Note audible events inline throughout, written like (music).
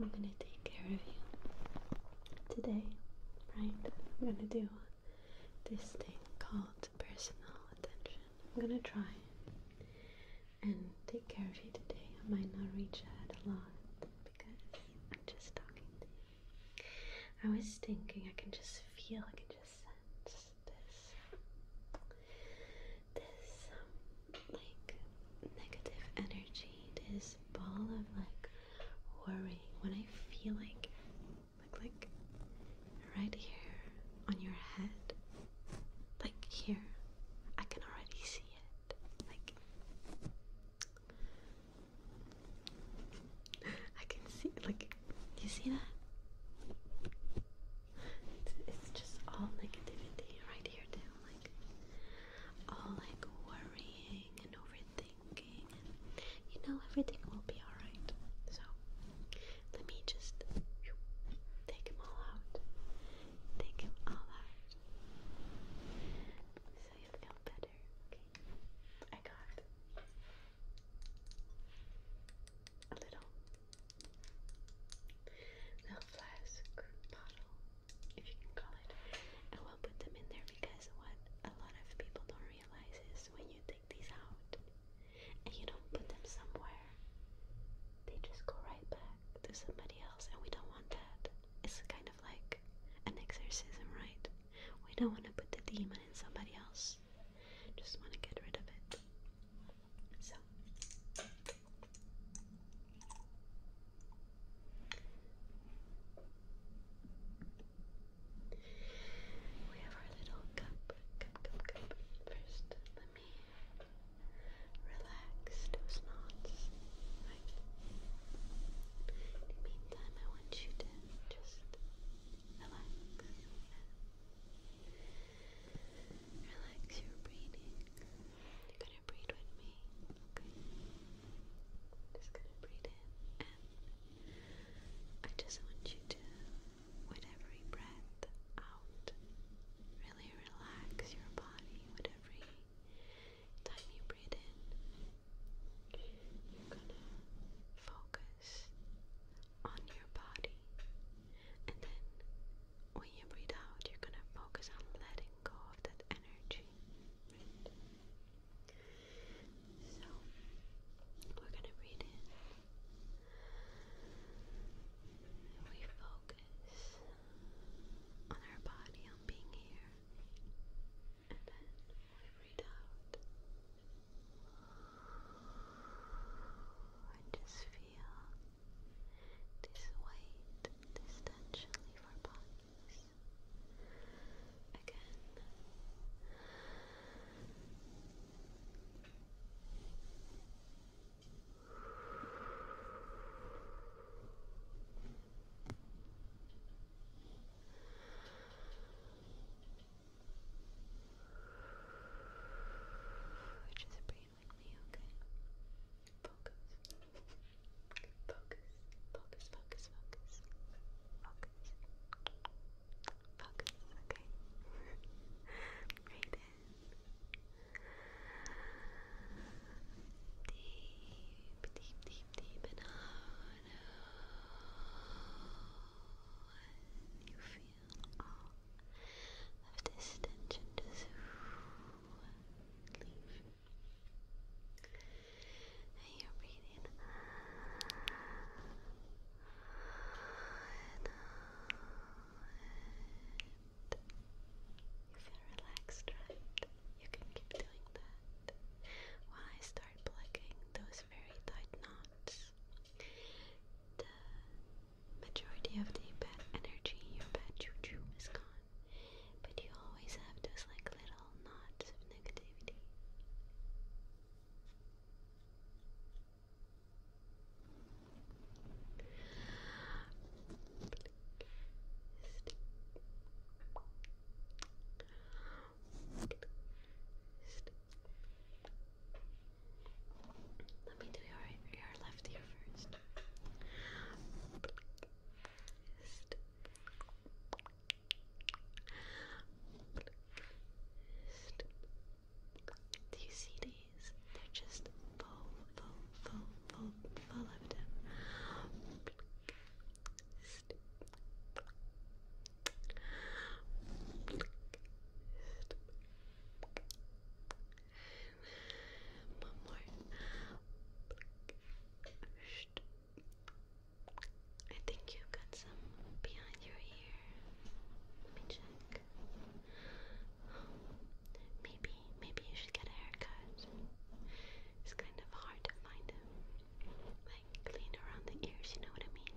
I'm gonna take care of you today, right? I'm gonna do this thing called personal attention. I'm gonna try and take care of you today. I might not reach out a lot because I'm just talking to you. I was thinking I can just feel, I can just sense this. This um, like negative energy, this ball of like worry. When I feel like, like, like right here on your head, like here, I can already see it. Like, (laughs) I can see, like, you see that? It's, just all negativity right here, too all like worrying and overthinking, you know, everything will be alright. So, let me just take them all out. Take them all out. So you feel better. Okay. I got a little, little flask bottle if you can call it, and we'll put them in there because what a lot of people don't realize is when you take these out and you don't put them somewhere, they just go right back to somebody else, and we don't want that. It's kind of like an exorcism, right? We don't want to put the demon in somebody else, just want to get rid of it. So, we have our little cup, cup, cup, cup. First, let me relax those knots. In the meantime, I want you to just relax. Relax your breathing. You're gonna breathe with me, okay? Just gonna breathe in, and I just want you to, with every breath out, really relax your body with every time you breathe in. You're gonna focus on your body, and then when you breathe out, you're gonna focus on letting go of that energy. So we're gonna breathe in. We focus on our body, on being here, and then we breathe out. And just feel this weight is potentially for Again. just breathing like me, okay? Focus. Focus. Focus, focus, focus. Focus. Focus, okay? right Deep, deep, deep, deep, and out. you feel all of this tension just and you're breathing and out. You feel relaxed, right? You can keep doing that while I start plugging those very tight knots. The majority of the bad energy, your bad juju, is gone. But you always have those like little knots of negativity. Let me do your your left you Do you see these? They're just full, full, full, full, full of them. One more. I think you've got some behind your ear. Let me check. maybe, maybe you should get a haircut. It's kind of hard to find like clean around the ears. You know what I mean?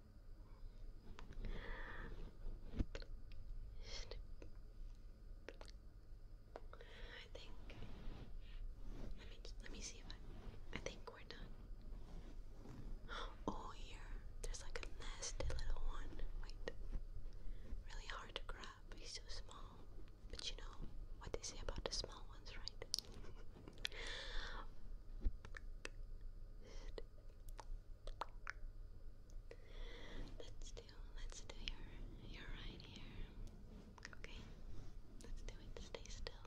I think let me let me see if I I think we're done. Oh here, there's like a nasty little one. Wait. Really hard to grab, he's so small. But you know what they say about the small ones, right? (laughs) Let's do let's do your your right ear. Okay. Let's do it. Stay still.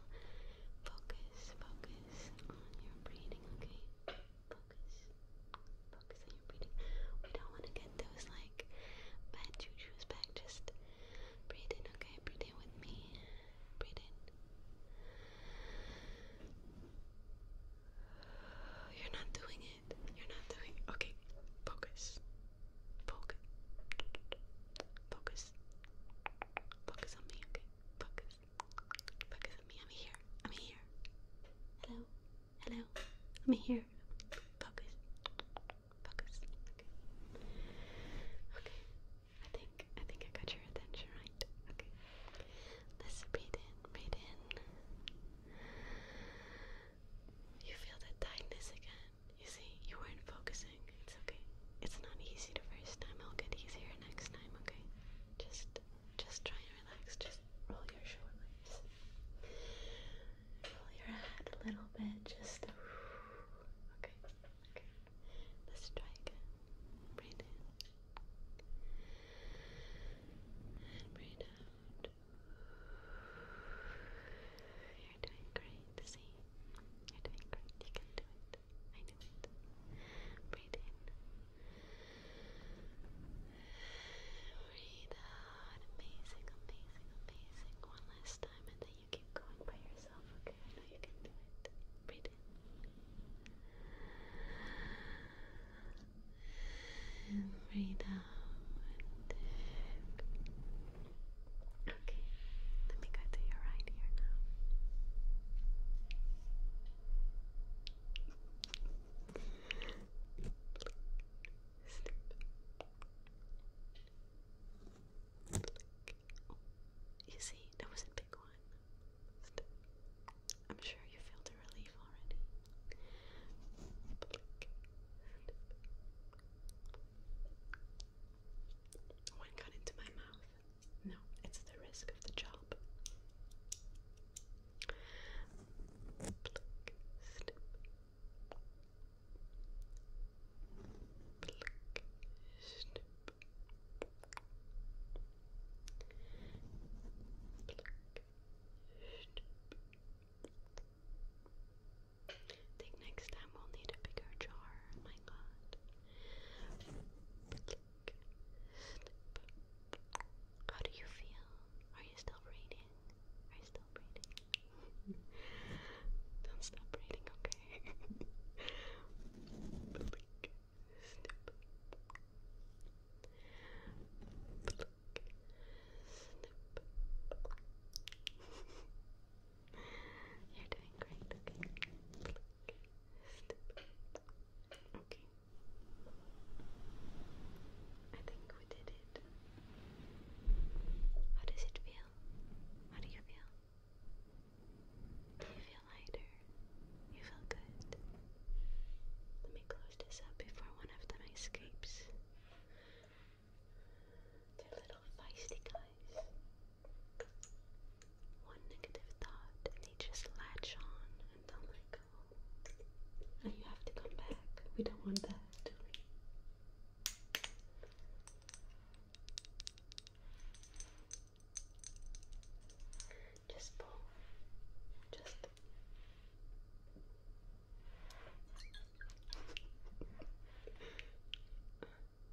Focus, focus on your breathing, okay? Focus. Focus on your breathing. We don't want to get those like bad juju's back. Just breathe okay? Breathe with me. Breathe in. You're not doing it. You're not doing it. Okay, focus. Focus. Focus. Focus on me, okay? Focus. Focus on me. I'm here. I'm here. Hello. Hello. I'm here. Focus. Focus. Okay. Okay. I think I think I got your attention right. Okay. Let's breathe in, breathe in. You feel that tightness again. You see, you weren't focusing. It's okay. It's not easy the first time. It'll get easier next time, okay? Just just try and relax. Just roll your shoulders. Roll your head a little bit, just okay. Okay. Let's try again. Breathe in. And breathe out. You're doing great. See? You're doing great. You can do it. I knew it. Breathe in. Breathe out. Amazing, amazing, amazing. One last time and then you keep going by yourself, okay? I know you can do it. Breathe and Okay, let me go to your right ear now. You see, that wasn't I'm sure you feel the relief already. One got into my mouth. No, it's the risk of the job. I think next time we'll need a bigger jar. Oh my god. How do you feel? Are you still breathing? Are you still breathing? (laughs) Don't stop breathing, okay? (laughs) snip. You're doing great, okay? Okay. I think we did it. How does it feel? How do you feel? You feel lighter. You feel good. Let me close this up before one of them escapes. They're little feisty guys. One negative thought, and they just latch on and don't let go. And you have to come back. We don't want that, do we? Just pull. Just.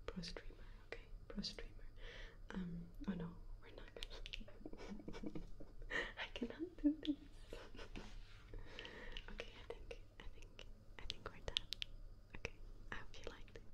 Pro streamer, okay, pro streamer. Um, oh no, we're not gonna. (laughs) I cannot do this. (laughs) okay, I think, I think, I think we're done. Okay, I hope you liked